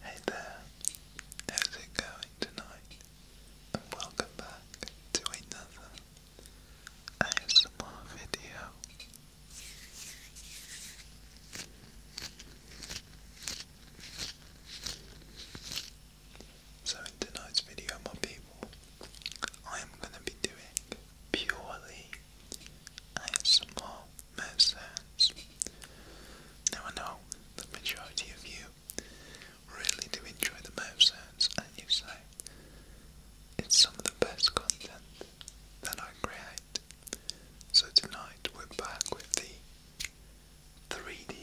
Hey there, how's it going tonight? And welcome back to another ASMR video. So in tonight's video, my people, I am going to be doing purely and small medicines. Now I know the majority of you really do enjoy the medicines and you say it's some of the best content that I create. So tonight we're back with the 3D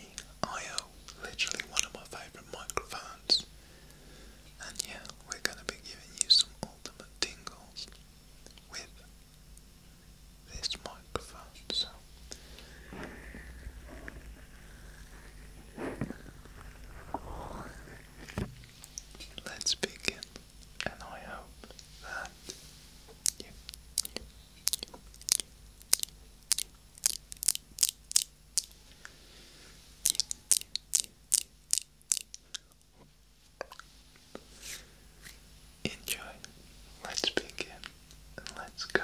IO, literally one of my favourite microphones. And yeah, we're gonna be giving you some ultimate tingles with this microphone, let's begin. And I hope that Enjoy. Let's begin let's go.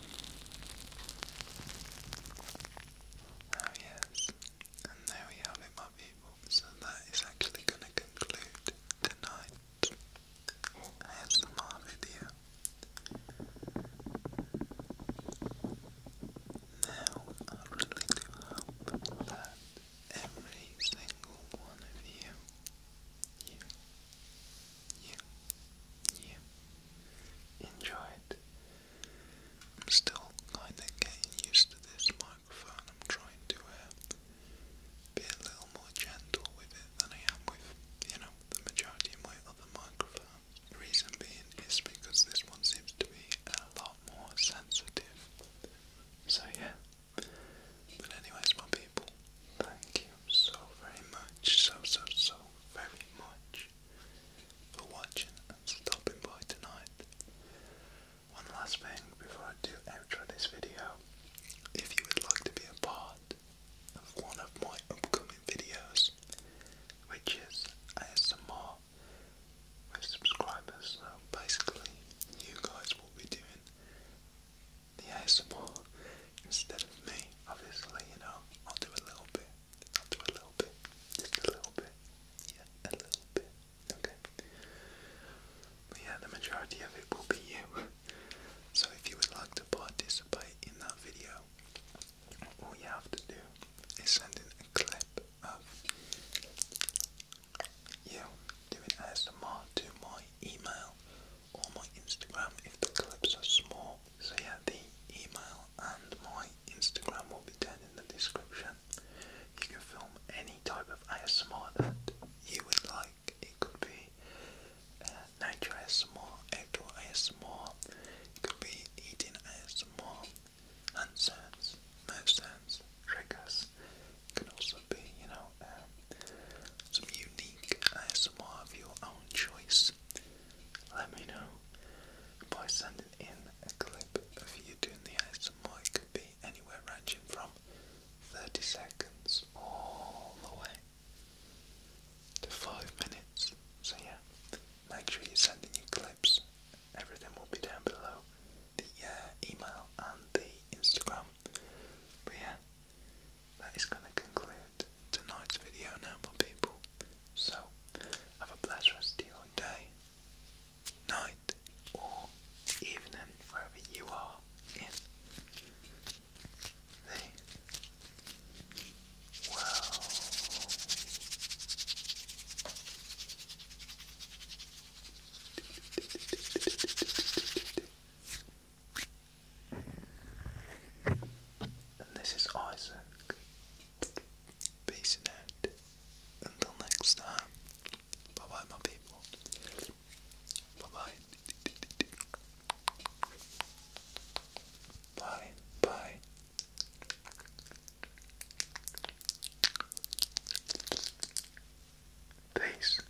Oh yes, and there we have it my people, so that is actually going to conclude tonight's ASMR video. Now, I really do hope that every single one of you, you, you, you enjoy it. I'm still kind of getting used to this microphone. I'm trying to uh, be a little more gentle with it than I am with, you know, the majority of my other microphones. reason being is because this one seems to be a lot more sensitive. So yeah. But anyways, my people, thank you so very much, so, so, so very much for watching and stopping by tonight. One last thing before I do outro this video, if you would like to be a part of one of my upcoming videos, which is ASMR with subscribers, so basically you guys will be doing the ASMR instead of me, obviously, you know, I'll do a little bit, I'll do a little bit, just a little bit, yeah, a little bit, okay, but yeah, the majority of it will be you, so if you would like to participate in that video, all you have to do is send in a clip of you doing ASMR to my email or my Instagram if the clips are small. So yeah, the email and my Instagram will be down in the description. You can film any type of ASMR that you would like. It could be uh, nature ASMR, outdoor ASMR, it could be eating ASMR, hand sounds, mouth sounds, triggers. It can also be, you know, um, some unique ASMR of your own choice, let me know by sending in a clip of you doing the ASMR. It could be anywhere ranging from 30 seconds all the way to 5 minutes. So, yeah, make sure you send in your clips. Everything will be down below the uh, email and the Instagram. But yeah, that is going to conclude tonight's video now, my people. So, have a blessed rest of day, night, or evening, wherever you are in the world. And this is Isaac. Peace out. Until next time. Bye bye, my people. Bye bye. Bye bye. Peace.